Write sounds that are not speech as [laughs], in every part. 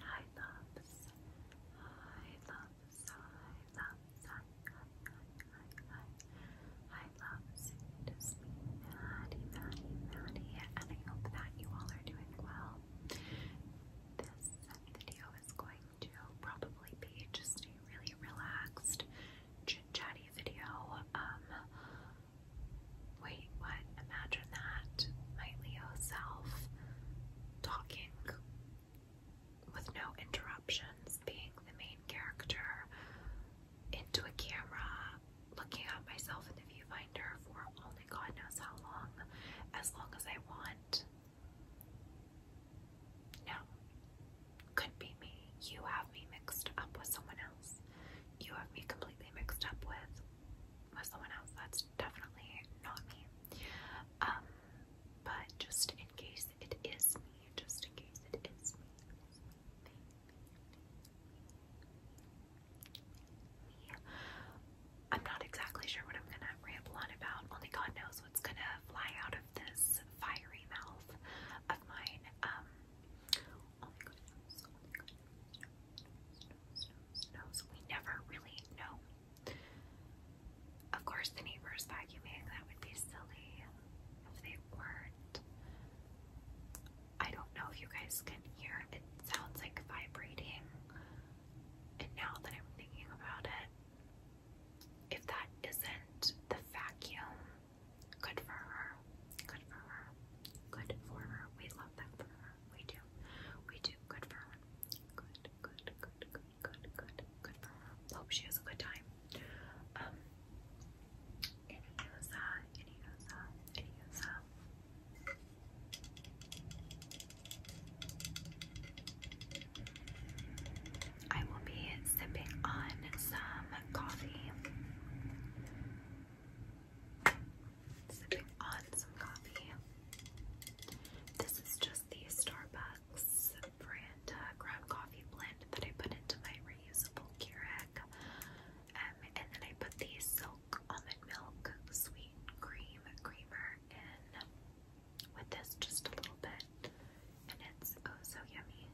Hi loves. Hi loves. Hi loves. Hi hi hi hi hi. Hi loves. It is me, Maddie, Maddie, Maddie, and I hope that you all are doing well. This video is going to probably be just a really relaxed, chit chatty video. Um, wait, what? Imagine that. My Leo self talking with no interruptions, being the main character into a camera, looking at myself in the viewfinder for only God knows how long, as long as I want. No, could be me. You have me mixed up with someone else. You have me completely mixed up with was someone else. That's definitely not me. Um, but just in case it is me, just in case it is me, I'm not exactly sure what I'm gonna ramble about. Only God knows what's gonna fly out of this fiery mouth of mine. Um, knows, knows, knows. We never really know. Of course, the neighbors vacuuming, that would be silly if they weren't. I don't know if you guys can hear it, sounds like vibrating. And now that I'm thinking about it, if that isn't the vacuum, good for her, good for her, good for her. We love that for her. We do. We do. Good for her. Good, good, good, good, good, good, good Hope she has a good time. Um, Iniosa, Iniosa, Iniosa. I will be sipping on some coffee sipping on some coffee. This is just the Starbucks brand uh, ground coffee blend that I put into my reusable Keurig. Um, and then I put the Silk Almond Milk Sweet Cream Creamer in with this just a little bit. And it's oh so yummy.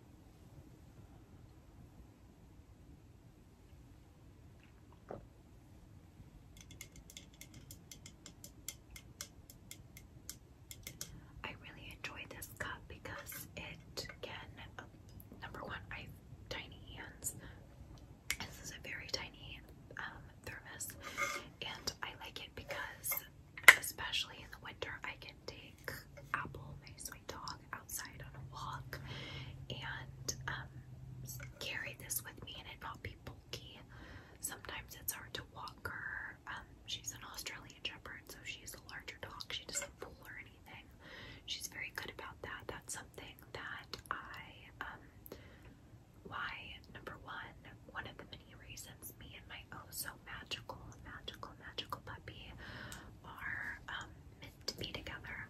I really enjoy this cup because it can, number one, I tiny hands. This is a very tiny um, thermos, and I like it because, especially in the winter, I can take Apple, my sweet dog, outside on a walk and um, carry this with me and it not be Sometimes it's hard to walk her. Um, she's an Australian Shepherd, so she's a larger dog. She doesn't pull or anything. She's very good about that. That's something that I, um, why, number one, one of the many reasons me and my oh so magical, magical, magical puppy are um, meant to be together,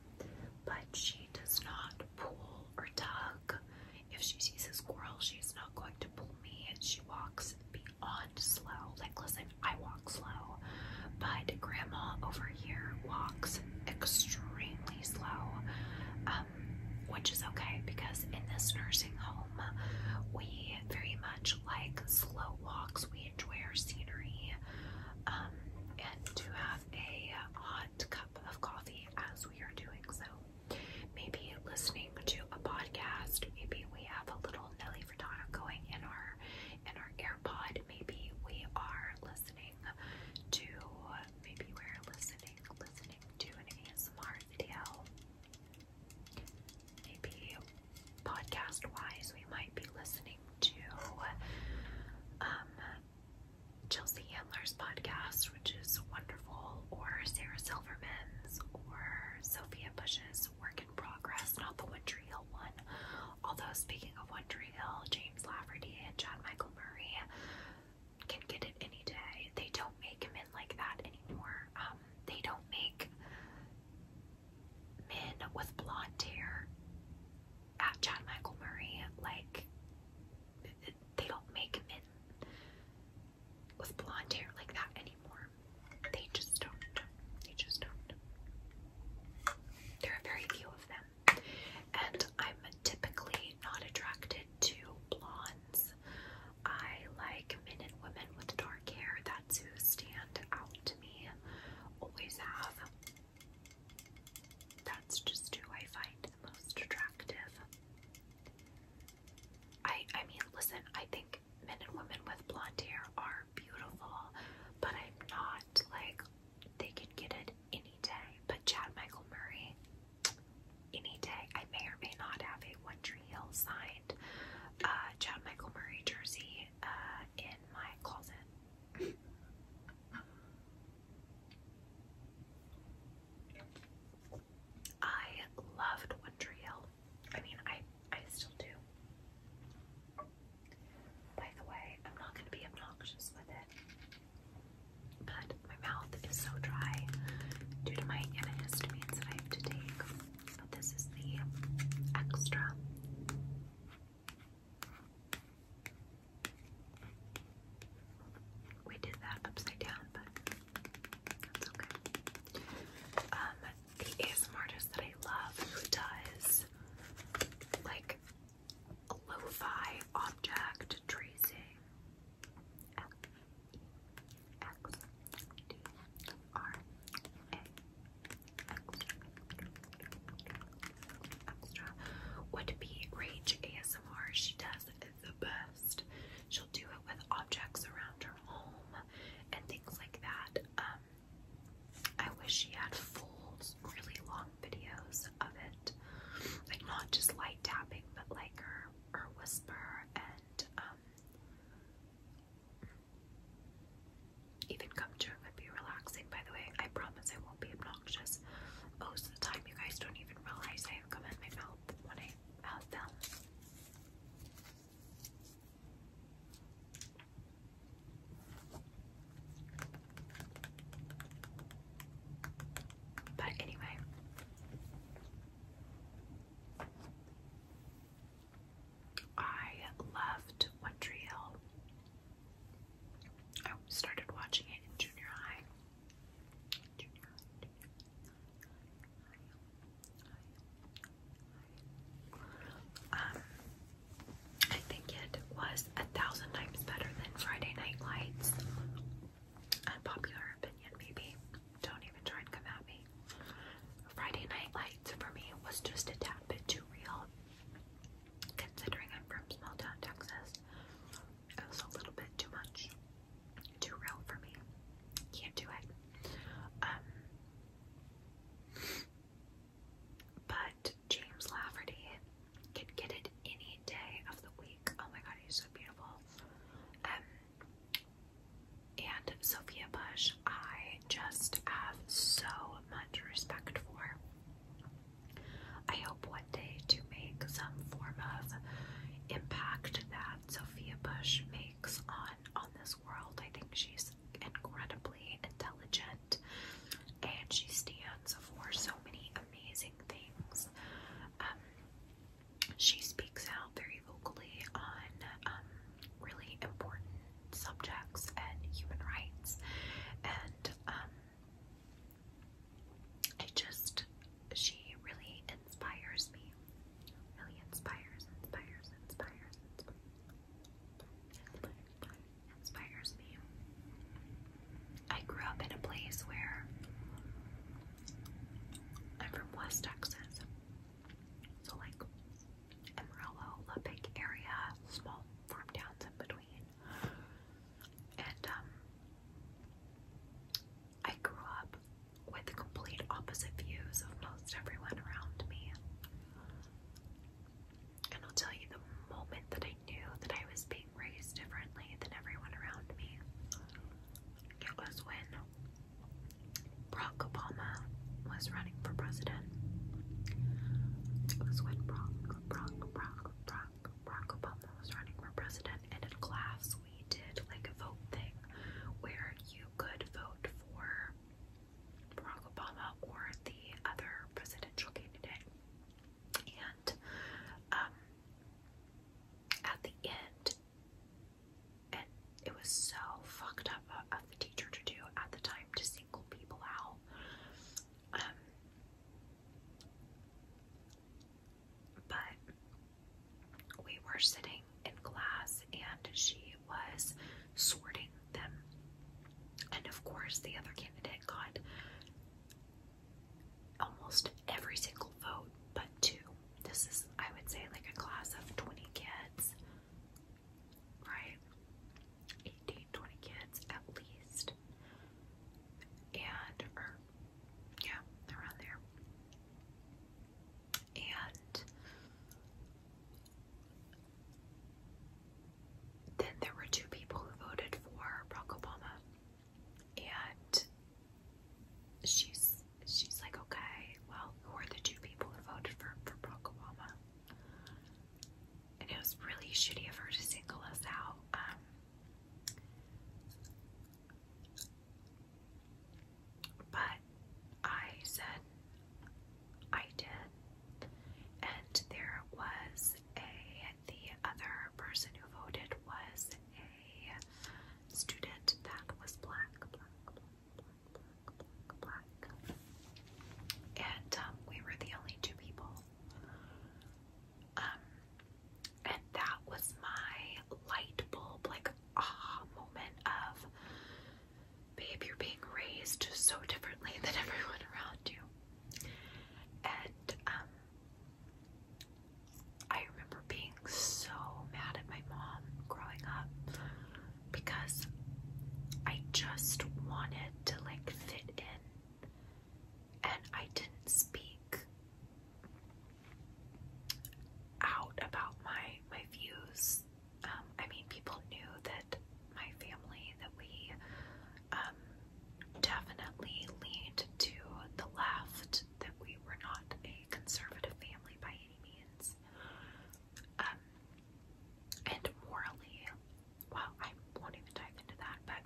but she does not pull or tug if she sees a squirrel, she's not going to pull me. and She walks beyond slow. Like, listen, I walk slow, but Grandma over here walks extremely slow, um, which is okay because in this nursing home, we very much like slow walks. We enjoy our scenery, um, and to have a hot cup of coffee as we are doing so. Maybe listening to a podcast, maybe we have a little Nelly Furtado going in our in our AirPod, maybe we are listening to maybe we're listening listening to an ASMR video. Maybe podcast wise we might be listening to um Chelsea Handler's podcast, which is wonderful, or Sarah Silverman's, or Sophia Bush's Work in Progress, not the One Hill one. Although, speaking of One Hill, James Lafferty and John Michael Murray can get it any day. They don't make men like that anymore. Um, they don't make men with blonde hair at John Michael Murray like they don't make men with blonde hair like that anymore. They just don't. They just don't. There are very few of them. And I'm typically not attracted to blondes. I like men and women with dark hair. That's who stand out to me. Always have. That's just who I find the most attractive. I I mean, listen, I think men and women with blonde hair are beautiful, but I'm not like they can get it any day. But Chad Michael Murray, any day. I may or may not have a One Tree Hill signed uh Chad Michael Murray jersey uh, in my closet. I loved Wonder Hill. I mean, I I still do. By the way, I'm not going to be obnoxious with it, but my mouth is so dry due to my antihistamines that I have to take. But this is the extra. We did that upside down, but that's okay. Um, the ASMR that I love who does like lo object tracing. L E X D R A would be Rage ASMR. She does the best. She'll do it with objects around her home and things like that. Um, I wish she had full, really long videos of it, like not just light tapping, but like her her whisper and um, even come to would be relaxing. By the way, I promise I won't be obnoxious obnoxious. Most of the time, you guys don't even realize I have come out of my mouth when I out them. But anyway. I loved One Tree Hill. I started watching it in junior high. Um, I think it was a thousand times better than Friday Night Lights. Unpopular opinion, maybe. Don't even try and come at me. Friday Night Lights for me was just a tad bit too real, considering I'm from small town Texas. It was a little bit too much, too real for me. Can't do it. Um, but James Lafferty can get it any day of the week. Oh my god, he's so beautiful. Um, and Sophia Bush, I just have so much respect for. I hope one day to make some form of impact that Sophia Bush makes on on this world. I think she's incredibly intelligent and she stands for so many amazing things. Um, she speaks out very vocally on um, really important subjects and human rights and um, it just she really inspires me. Really inspires, inspires, inspires, inspires, inspires me. I grew up in a place where I'm from West Texas, so like Amarillo, Lubbock area, small farm towns in between, and um, I grew up with complete opposite views of most everyone around me. And I'll tell you the moment that I knew that I was being raised differently than everyone around me. It was when Barack Obama was running for president. It was when Barack, Barack, Barack, Barack, Barack Obama was running for president, and in class we did like a vote thing where you could vote for Barack Obama or the other presidential candidate. And um, at the end, and it was so fucked up of the teacher to do at the time to single people out. Um, but we were sitting in class and she was sorting them. And of course, the other candidate got almost every single vote but two. This is, I would say, like a class of 20 kids, right? 18, 20 kids at least. And, yeah, around there. And then there were two people who voted for Barack Obama, and she's she's like, okay, well, who are the two people who voted for for Barack Obama? And it was really shitty of her to single us out. Um, but I said I did, and there was a the other person who voted was a student that was black, black, black, black, black, and um, we were the only two people. Um, and that was my light bulb, like aha moment of babe, you're being raised so differently than [laughs] everyone around you. And um, I remember being so mad at my mom growing up because I just wanted to like fit in and I didn't speak out about my my views. Um, I mean, people knew that my family that we um, definitely leaned to the left, that we were not a conservative family by any means. Um, and morally, well, I won't even dive into that. But,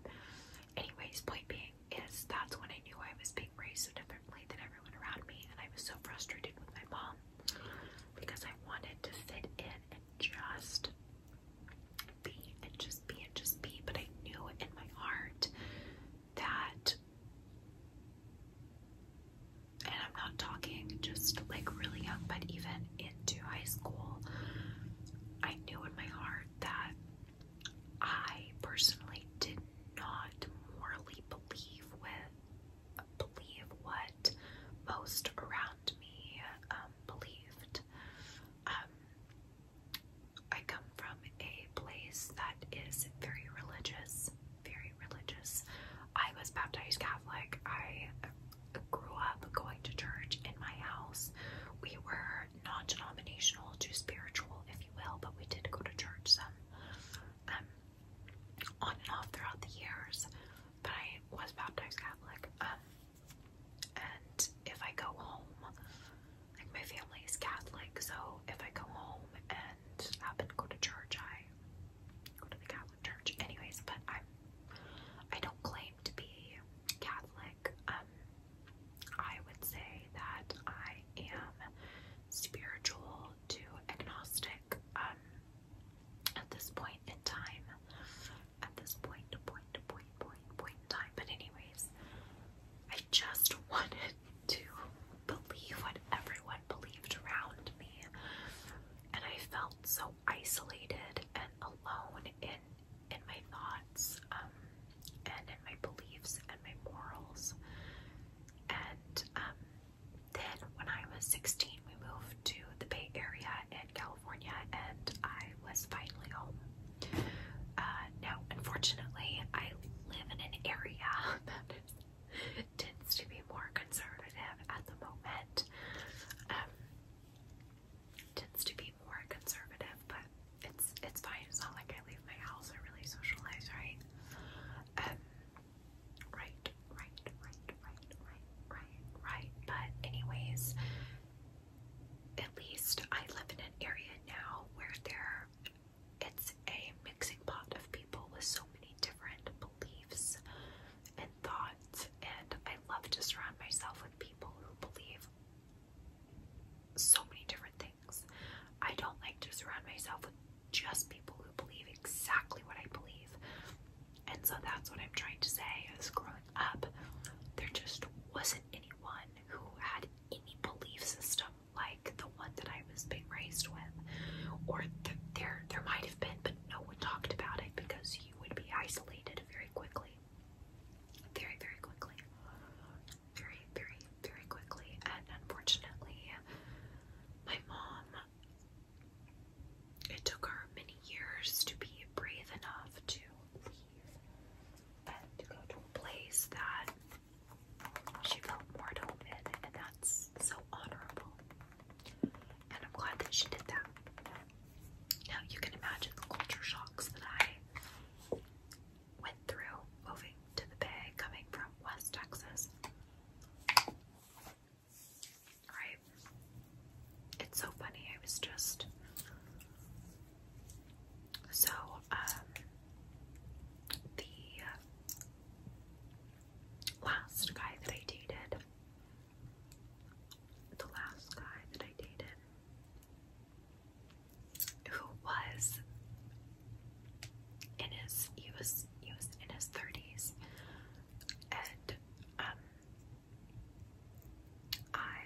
anyways, point being, is that's when I knew I was being raised so differently than everyone around me, and I was so frustrated with my mom because I wanted to fit in and just be and just be and just be, but I knew in my heart that. And I'm not talking just like really young, but even into high school, I knew in my heart that I personally did not morally believe with believe what most around me um, believed. Um, I come from a place that is very religious, very religious. I was baptized Catholic. I grew up going to church in my house. We were are non denominational to spiritual, if you will, but we did go to church some um, on and off throughout the years. But I was baptized Catholic. Um, and if I go home, like my family is Catholic, so if I go home and happen to go to church, I go to the Catholic church, anyways. But I'm I i do not claim to be Catholic. Um, I would say that I am spiritual to agnostic um, at this point in time. At this point, point, point, point, point time. But, anyways, I just [laughs] wanted to believe what everyone believed around me. And I felt so isolated and alone in in my thoughts. Um, and in my beliefs and my morals. And um, then when I was 16, we moved to the Bay Area in California, and I was finally home. Uh, now, unfortunately, I live in an area [laughs] that tends to be more conservative at the moment. Um, tends to be more conservative, but it's it's fine. It's not like I leave my house. I really socialize, right? Um, right, right, right, right, right, right, But anyways, at least I live in an area now where there it's a mixing pot of people with so many different beliefs and thoughts, and I love to surround myself with people who believe so many different things. I don't like to surround myself with just people who believe exactly what I believe. And so that's what I'm trying to say is growing up, there just wasn't anyone who had any belief system like the one that I was being raised with. Or there there might have been, but no one talked about it because you would be isolated very quickly. Very, very quickly very, very, very quickly. And unfortunately, my mom, it took her many years to be brave enough to leave and to go to a place that she felt more at home in, and that's so honorable. And I'm glad that she did that. Now you can imagine the culture shocks that I went through, moving to the Bay, coming from West Texas. Right? It's so funny. I was just. So, um, the uh, last guy that I dated, the last guy that I dated, who was in his he was he was in his thirties and um, I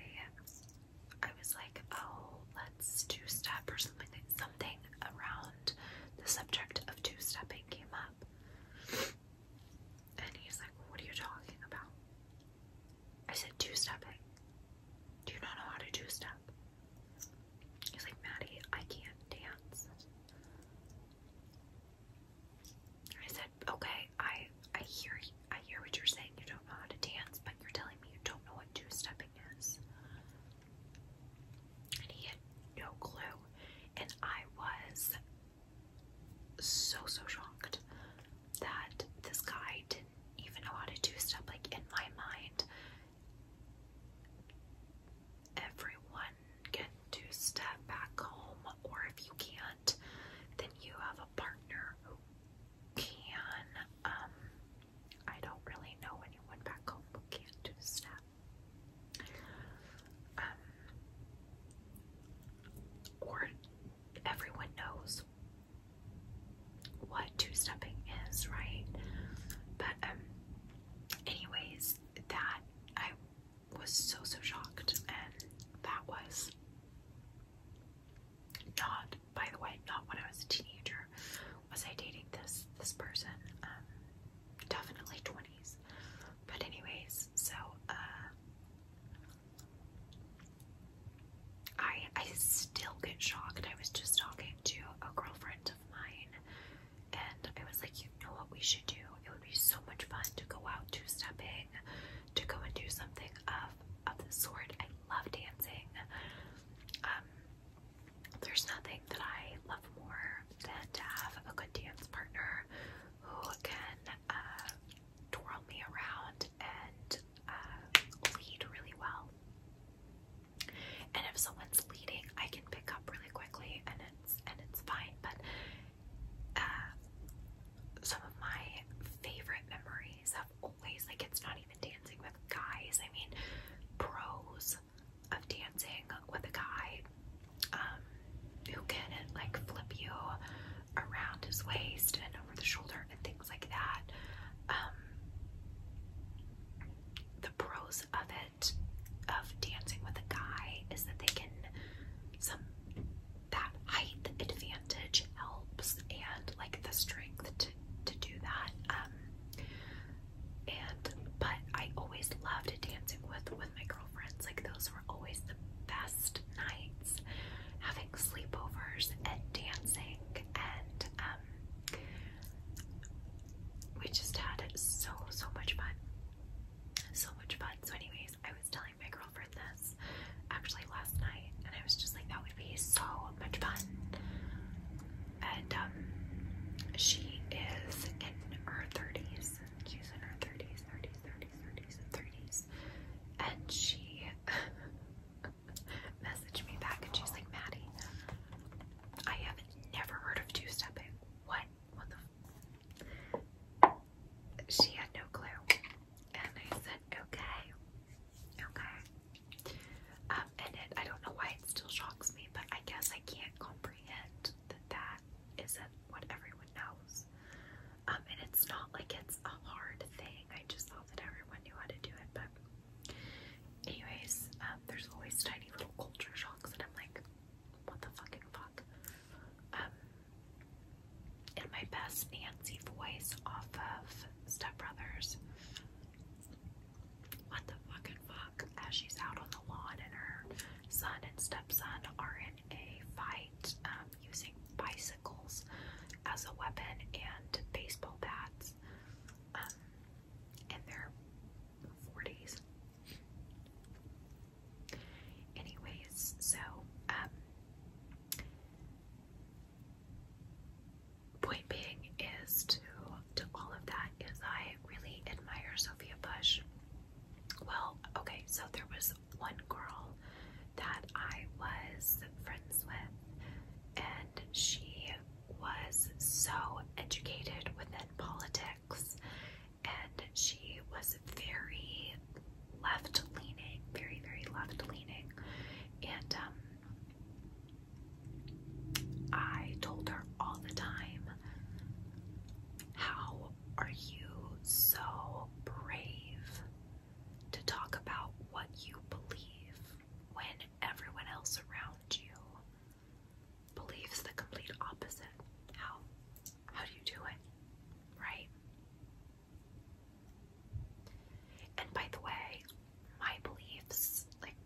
I was like oh let's two step or something something around the subject of two stepping came up and he's like what are you talking about I said two stepping do you not know how to two step He's like, Maddie, I can't dance. I said, okay, I I hear I hear what you're saying. You don't know how to dance, but you're telling me you don't know what two-stepping is. And he had no clue. And I was so so shocked that this guy didn't even know how to two-step. Like in my mind, everyone can two-step back home, or if you can't, then you have a partner who can. Um, I don't really know anyone back home who can't step um, or everyone knows what two-stepping is, right? But um, anyways, that I was so so shocked and that was not by the way, not when I was a teenager was I dating this this person. Um, definitely 20s. But anyways, so uh I I still get shocked. I was just talking to a girlfriend of mine, and I was like, you know what we should do? It would be so much fun to go out two stepping, to go and do something of of the sort. I love dancing. Um, there's nothing that I love more than to have a good dance partner who can uh, twirl me around and uh, lead really well. And if someone's leading, I can pick up really quickly and it's and it's fine. But uh, some of my favorite memories have always like it's not even dancing with guys. I mean pros of dancing with a guy um, who can like flip you around his waist and over the shoulder and things like that. Um, the pros of it of dancing with a guy is that they can some that height advantage helps and like the strength to to do that. Um, and but I always loved dancing with with my girlfriends. Like those were always the best nights having sleepovers and dancing and um, we just had so so much fun so much fun so anyways i was telling my girlfriend this actually last night and i was just like that would be so much fun and um she is in her 30s she's in her 30s 30s 30s 30s 30s and she [laughs] [laughs] messaged me back and she's like, Maddie, I have never heard of two stepping. What? What the? She had no clue. And I said, okay. Okay. Um, and it, I don't know why it still shocks me, but I guess I can't comprehend that that isn't what everyone knows. Um, and it's not like it's a hard thing. I just thought that everyone knew how to do it, but Anyways, um, there's always tiny little culture shocks, and I'm like, what the fucking fuck? Um, in my best Nancy voice off of Step Brothers, what the fucking fuck? As she's out on the lawn, and her son and stepson are in a fight um, using bicycles as a weapon and baseball bats. Um, in their 40s. Anyways, so, um, point being is to, to all of that is I really admire Sophia Bush. Well, okay, so there was one girl that I was friends with and she was so educated within politics and she was very left leaning, very, very left leaning. And um, I told her all the time, How are you so brave to talk about what you believe when everyone else around you believes the complete opposite. How how do you do it? Right? And by the way, my beliefs, like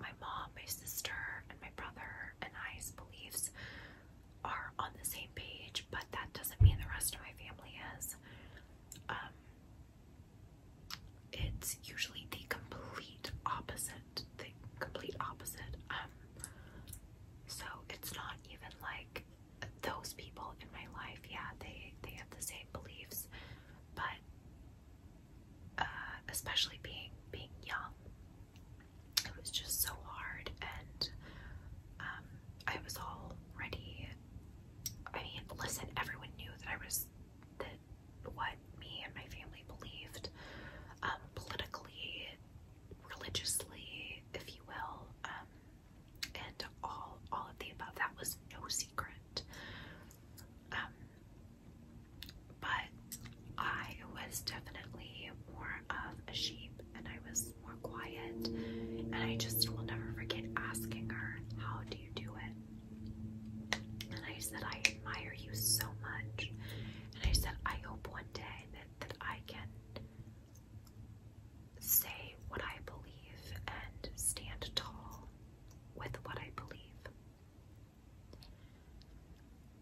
my mom, my sister, and my brother and I's beliefs are on the same page, but that doesn't mean the rest of my family is. Um, it's usually the complete opposite. The complete opposite. Um, so it's not even like those people in my life. Yeah, they they have the same beliefs, but uh, especially being being young, it was just so hard, and um, I was already. I mean, listen, everyone knew that I was that what me and my family believed um, politically, religiously, if you will, um, and all all of the above. That was no secret. Um, but I was definitely more of a sheep, and I was more quiet, and I just will never forget asking her, "How do you do it?" And I said, I admire you so much. And I said, I hope one day that, I can say what I believe and stand tall with what I believe.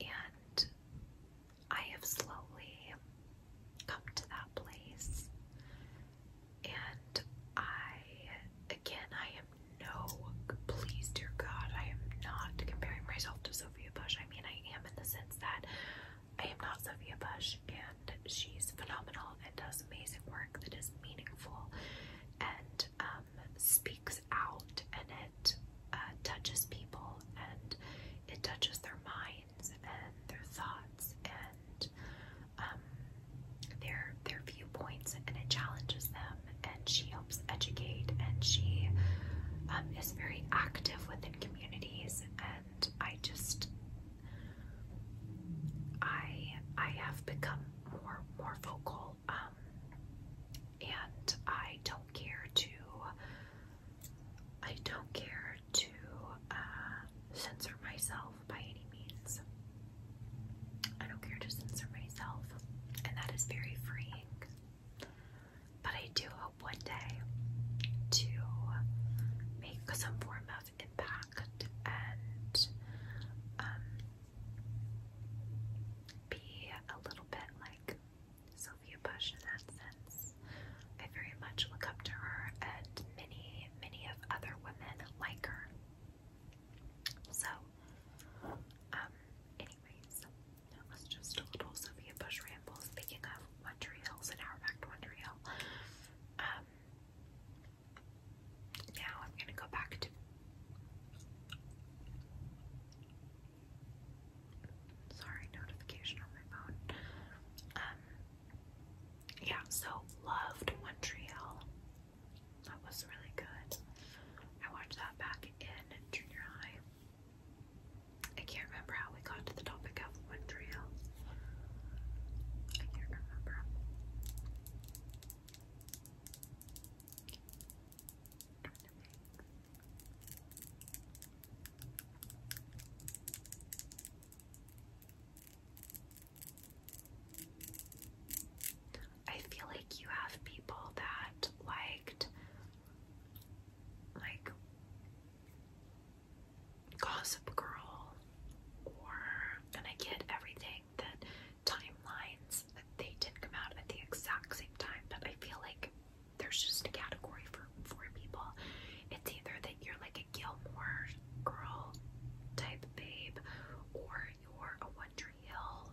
And I have slowly come to that place. And I, again, I am no, please, dear God, I am not comparing myself to Sophia Bush. I mean, I am in the sense that I am not Sophia Bush, and she's phenomenal and does amazing work that is meaningful and um, speaks out, and it uh, touches people, and it touches their minds and their thoughts, and um, their their viewpoints and it challenges them and she helps educate and she um, is very active within communities and I just I I have become more more vocal um, and I don't care to I don't care to uh, censor myself by any means I don't care, just insert myself. And that is very freeing. But I do hope one day to make some form of impact and um, be a little bit like Sophia Bush in that sense. I very much look up to her and many, many of other women like her. So, um, anyways, that was just a little Sophia Bush ramble. Speaking of Montreal's, so an hour back to Montreal. Um, now I'm gonna go back to. Sorry, notification on my phone. Um, yeah, so loved Montreal. That was really good. I watched that back in junior high. I can't remember how we got to the topic of Montreal. I can't remember. I feel like you have people that liked like Gossip Girl or and I get everything that timelines that they did not come out at the exact same time, but I feel like there's just a category for for people. It's either that you're like a Gilmore girl type babe or you're a One Tree Hill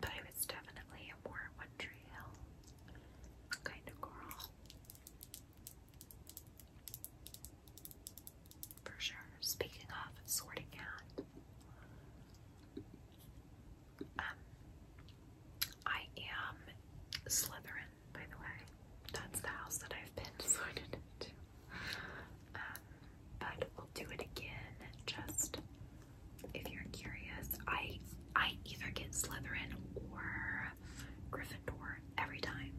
but I was definitely a more One Tree Hill kind of girl. For sure. Speaking of sorting hat, um, I am Slytherin, by the way. That's the house that I've been [laughs] sorted into. Um, but we'll do it again. Just if you're curious, I I either get Slytherin or Gryffindor every time.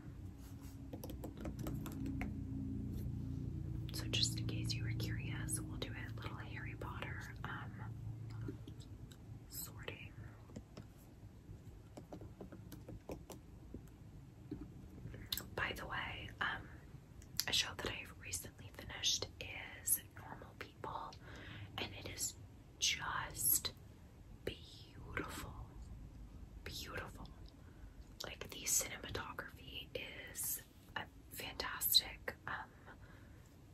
So just in case you were curious, we'll do a little Harry Potter um sorting. By the way, um a show that I've recently finished is Normal People, and it is just beautiful. Beautiful. Like the cinematography is fantastic. Um,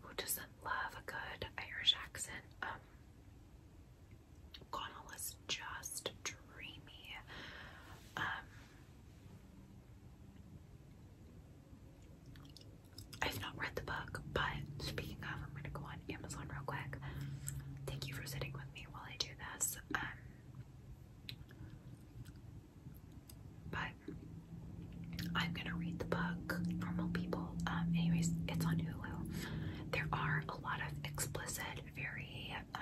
who doesn't love a good Irish accent? Um, Connell is just dreamy. Um, I've not read the book, but speaking of, I'm gonna go on Amazon real quick. Thank you for sitting with me while I do this. Um, but I'm gonna read the book, Normal People. Um, anyways, it's on Hulu. There are a lot of explicit, very um,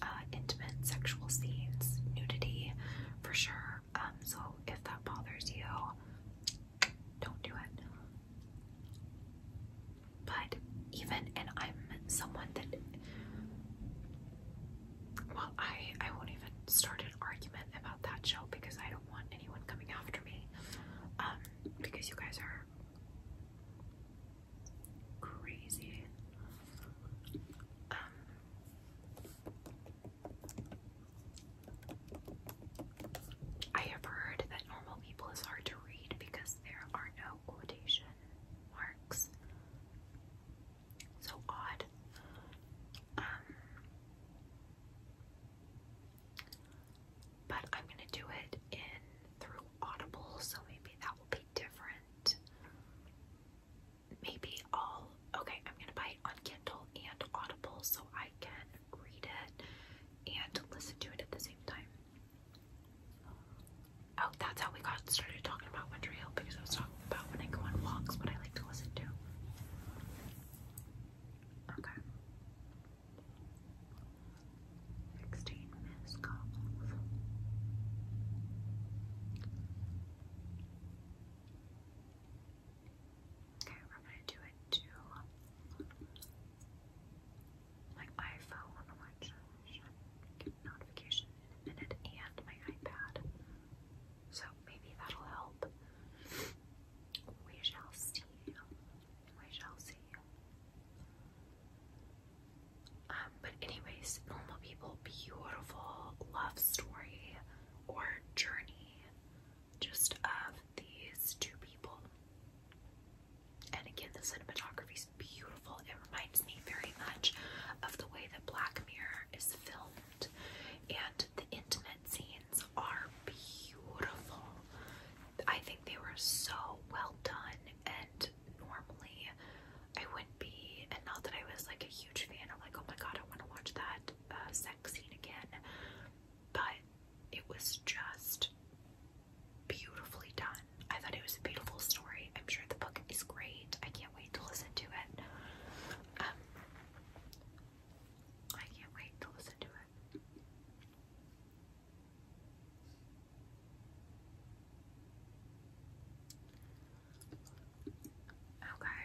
uh, intimate sexual scenes, nudity for sure. Um, so if that bothers you, don't do it. But even, and I'm someone that, well, I, I won't even start an argument about that show because I don't want anyone coming after me. Um, because you guys are crazy. Um, I have heard that normal people is hard to read because there are no quotation marks. So odd. Um, but I'm gonna do it in through Audible, so maybe that will be different maybe i okay, I'm gonna buy it on Kindle and Audible so I can read it and listen to it at the same time. Oh, that's how we got started talking about Winter Hill because I was talking about when I go on walks what I like to listen to. Okay. 16 minutes golf. Okay, we're gonna do it to my iPhone, which notification in a minute, and my iPad. So maybe that'll help. We shall see. We shall see. Um, but anyways, normal people, beautiful love story or journey just of these two people. And again, the cinematography is beautiful. It reminds me very much of the way that Black Mirror is filmed, and the intimate scenes are beautiful. I think they were so well done, and normally I wouldn't be, and not that I was like a huge fan of like, oh my god, I want to watch that uh, sex scene again, but it was just beautifully done. I thought it was a beautiful story. I'm sure the book is great. I can't wait to listen to it. Um, I can't wait to listen to it. Okay.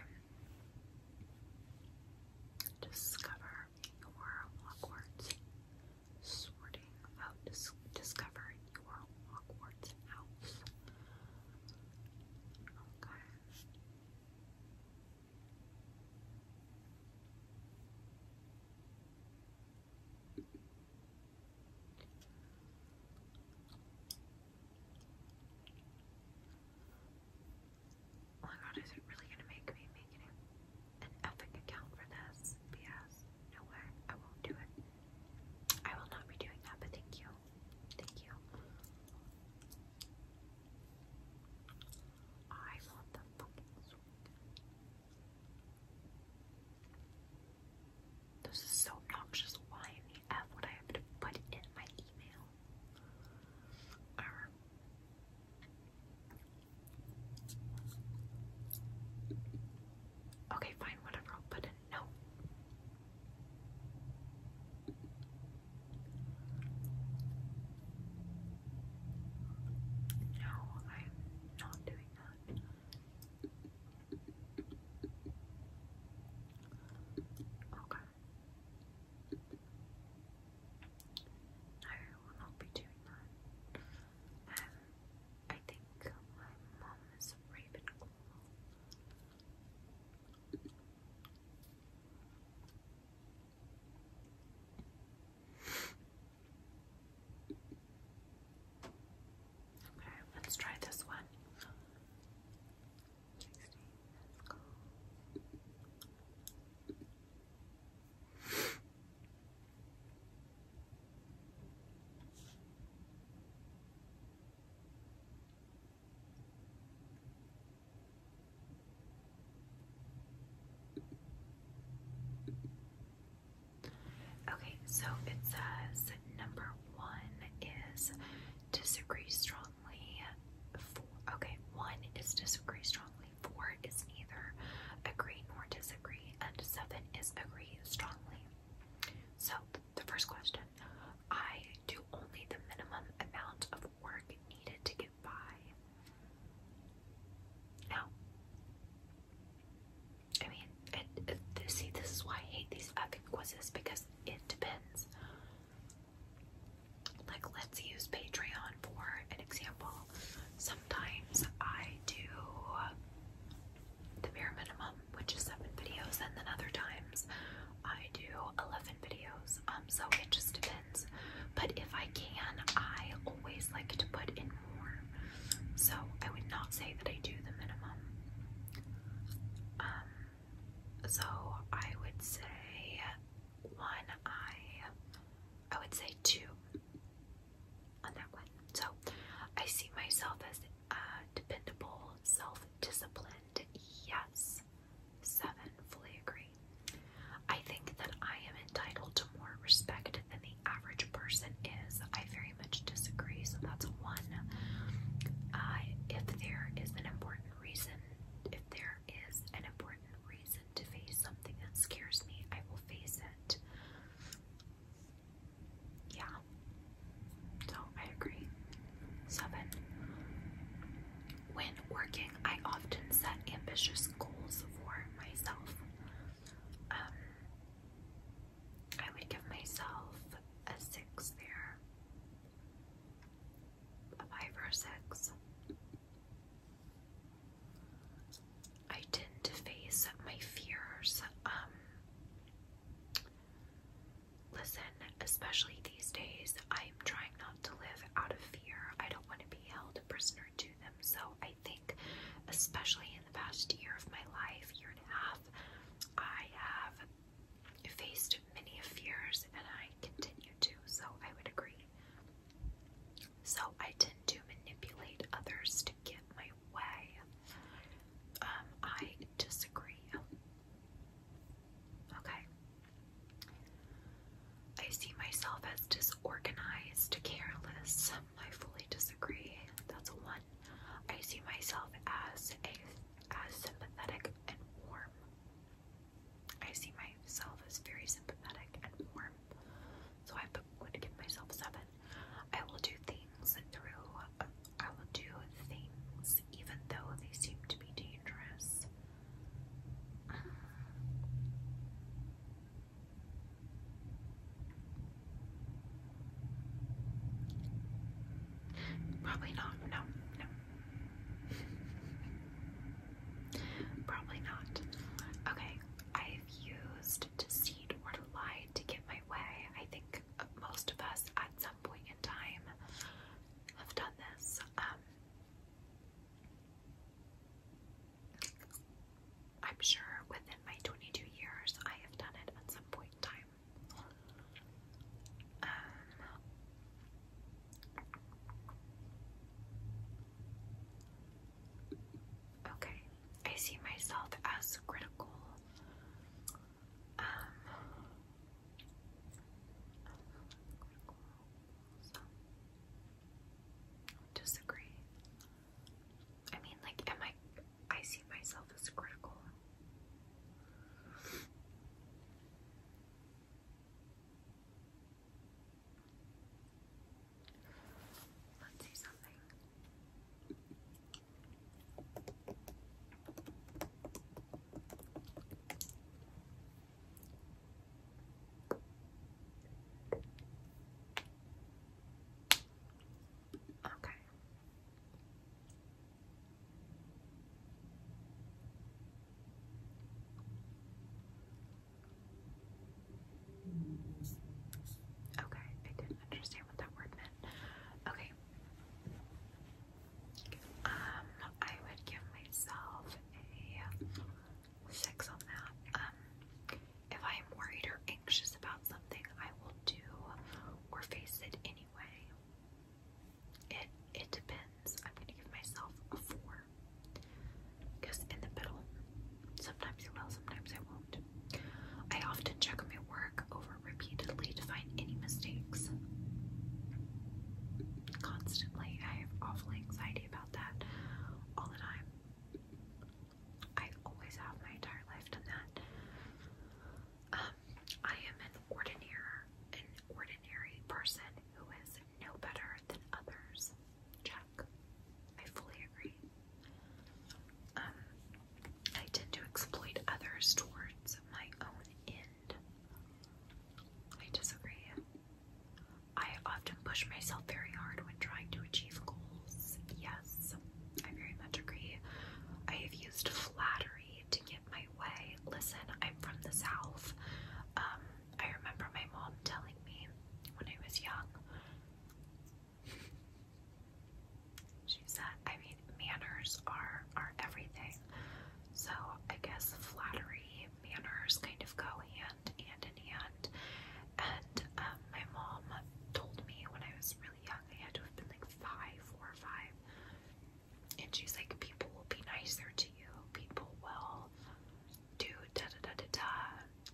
Discover your Hogwarts. Sorting out, discover your Hogwarts house. Okay. Oh my god, is it really gonna make me make an, an account for this? BS. No way. I won't do it. I will not be doing that, but thank you. Thank you. I want the fucking this is so noxious. Why in the F would I have to put in my email? Okay, fine, whatever. I'll put in no. No, I'm not doing that. Okay. No, I will not be doing that. Um, I think my mum is Ravenclaw. Okay, let's try this one. Okay, so it says number one is disagree strongly. Four. Okay, one is disagree strongly. Four is neither agree nor disagree, and seven is agree strongly. So, the first question I do only the minimum amount of work needed to get by. Now, I mean, see, this is why I hate these effing quizzes because it depends. Like, let's use Patreon for an example. Sometimes I do the bare minimum, which is seven videos, and then other times I do 11 videos. Um, so it just depends. But if I can, I always like to put in more. So I would not say that I do the minimum. Um, so I would say one eye. I would say two on one. So I see myself as uh, dependable, self-disciplined. Yes, seven. Fully agree. I think that I am entitled to more respect than the average person is. I very much disagree. So that's one. Uh, if there is an important reason, if there is an important reason to face something that scares me, I will face it. Yeah. So I agree. Seven. When working, I often set ambitious goals for myself. Um, I would give myself a six there five or six. I tend to face my fears. Um, listen, especially these days, I'm trying not to live out of fear. I don't want to be held a prisoner to them. So I think, especially in the past year of my life, year and a half, I have I faced many fears, and I continue to, so I would agree. So I tend to manipulate others to get my way. Um, I disagree. Okay. I see myself as disorganized, careless. I fully disagree. That's a one. I see myself as a as sympathetic and warm. I see myself as very sympathetic and warm. So I would give myself seven. I will do things through I will do things even though they seem to be dangerous. Probably not. No, no. Probably not. Okay, I've used deceit or to lie to get my way. I think most of us at some point in time have done this. Um, I'm sure within my 22 years I have done it at some point in time. Um, okay, I see myself as critical. Um, disagree. I mean, like, am I? I see myself as critical. Let's do something. Okay. Okay, I didn't understand what that word meant. Okay. Um, I would give myself a six on that. Um, if I am worried or anxious about something, I will do or face it anyway. It it depends. I'm gonna give myself a four. Because in the middle, sometimes I will, sometimes I won't. I often check my work over repeatedly to find any mistakes. Constantly, I have awful anxiety about that all the time. I always have my entire life done that. Um, I am an ordinary, an ordinary person who is no better than others. Check. I fully agree. Um, I tend to exploit others towards my own end. I disagree. I often push myself very hard when trying to achieve goals. Yes, I very much agree. I have used flattery to get my way. Listen, I'm from the South. Um, I remember my mom telling me when I was young. She said, I mean, manners are are everything. So I guess flattery, manners kind of go hand in hand. And um, my mom told me when I was really young, I had to have been like five, and she's like, people will be nicer to you. People will do da da da da da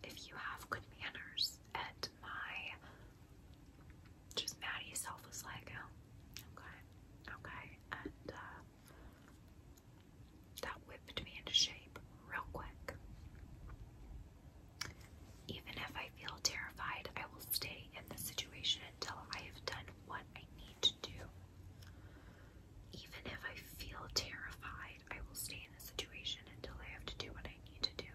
if you have good manners. And my just Maddie self was like, oh, okay, okay, and uh, that whipped me into shape real quick. Even if I feel terrified, I will stay in this situation until I have done what I need to do. Even if I feel terrified, I will stay in a situation until I have to do what I need to do.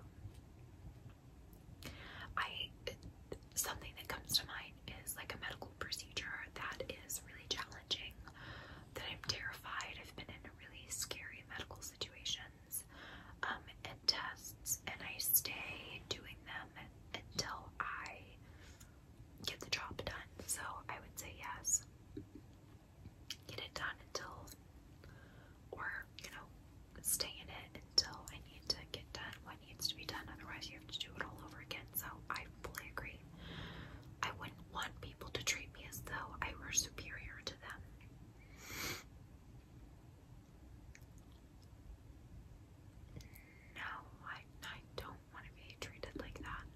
I something that comes to mind is like a medical procedure that is really challenging, that I'm terrified. I've been in really scary medical situations um, and tests, and I stay doing them it until I get the job done. So I would say yes. Get it done until, or you know, stay in it until I need to get done what needs to be done. Otherwise, you have to do it all over again. So I fully agree. I wouldn't want people to treat me as though I were superior to them. No, I, I don't want to be treated like that.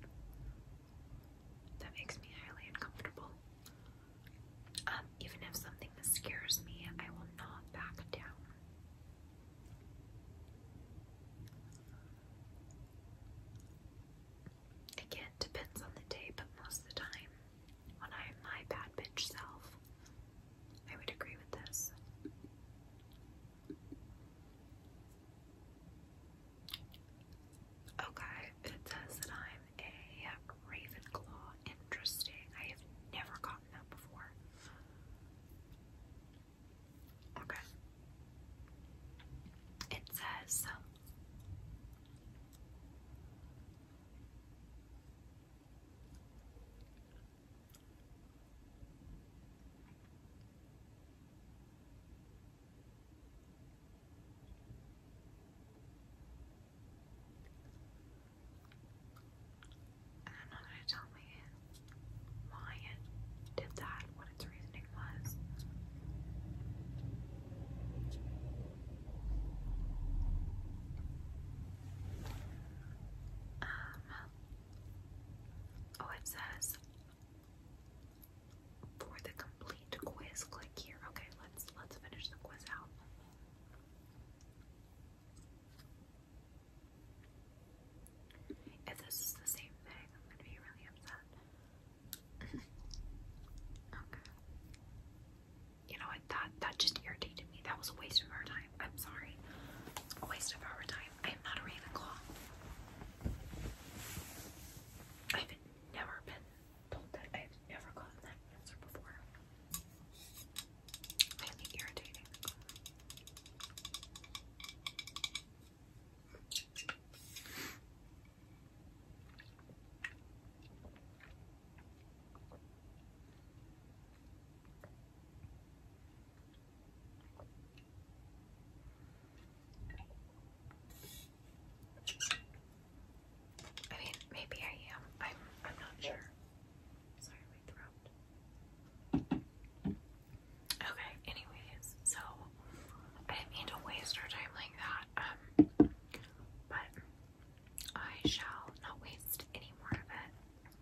That makes me highly uncomfortable. Um, even if something scares me, I will not back down. Again, depends on the day, but most of the time, when I'm my bad bitch self, I would agree with this. Okay, it says that I'm a Ravenclaw. Interesting. I have never gotten that before. Okay. It says. Um, and I'm not going to tell me why it did that, what its reasoning was. Um, Oh, it says for the complete quiz, click here. Okay, let's let's finish the quiz out. If this is the same thing, I'm gonna be really upset. [laughs] okay. You know what? That that just irritated me. That was a waste of our time. I'm sorry. It's a waste of our time. I am not a Ravenclaw. I've never been told that. I've never gotten that answer before. Mainly irritating. I mean, maybe I am. I'm I'm not sure. Sorry, my throat. Okay, anyways, so I didn't mean to waste our time like that. Um but I shall not waste any more of it.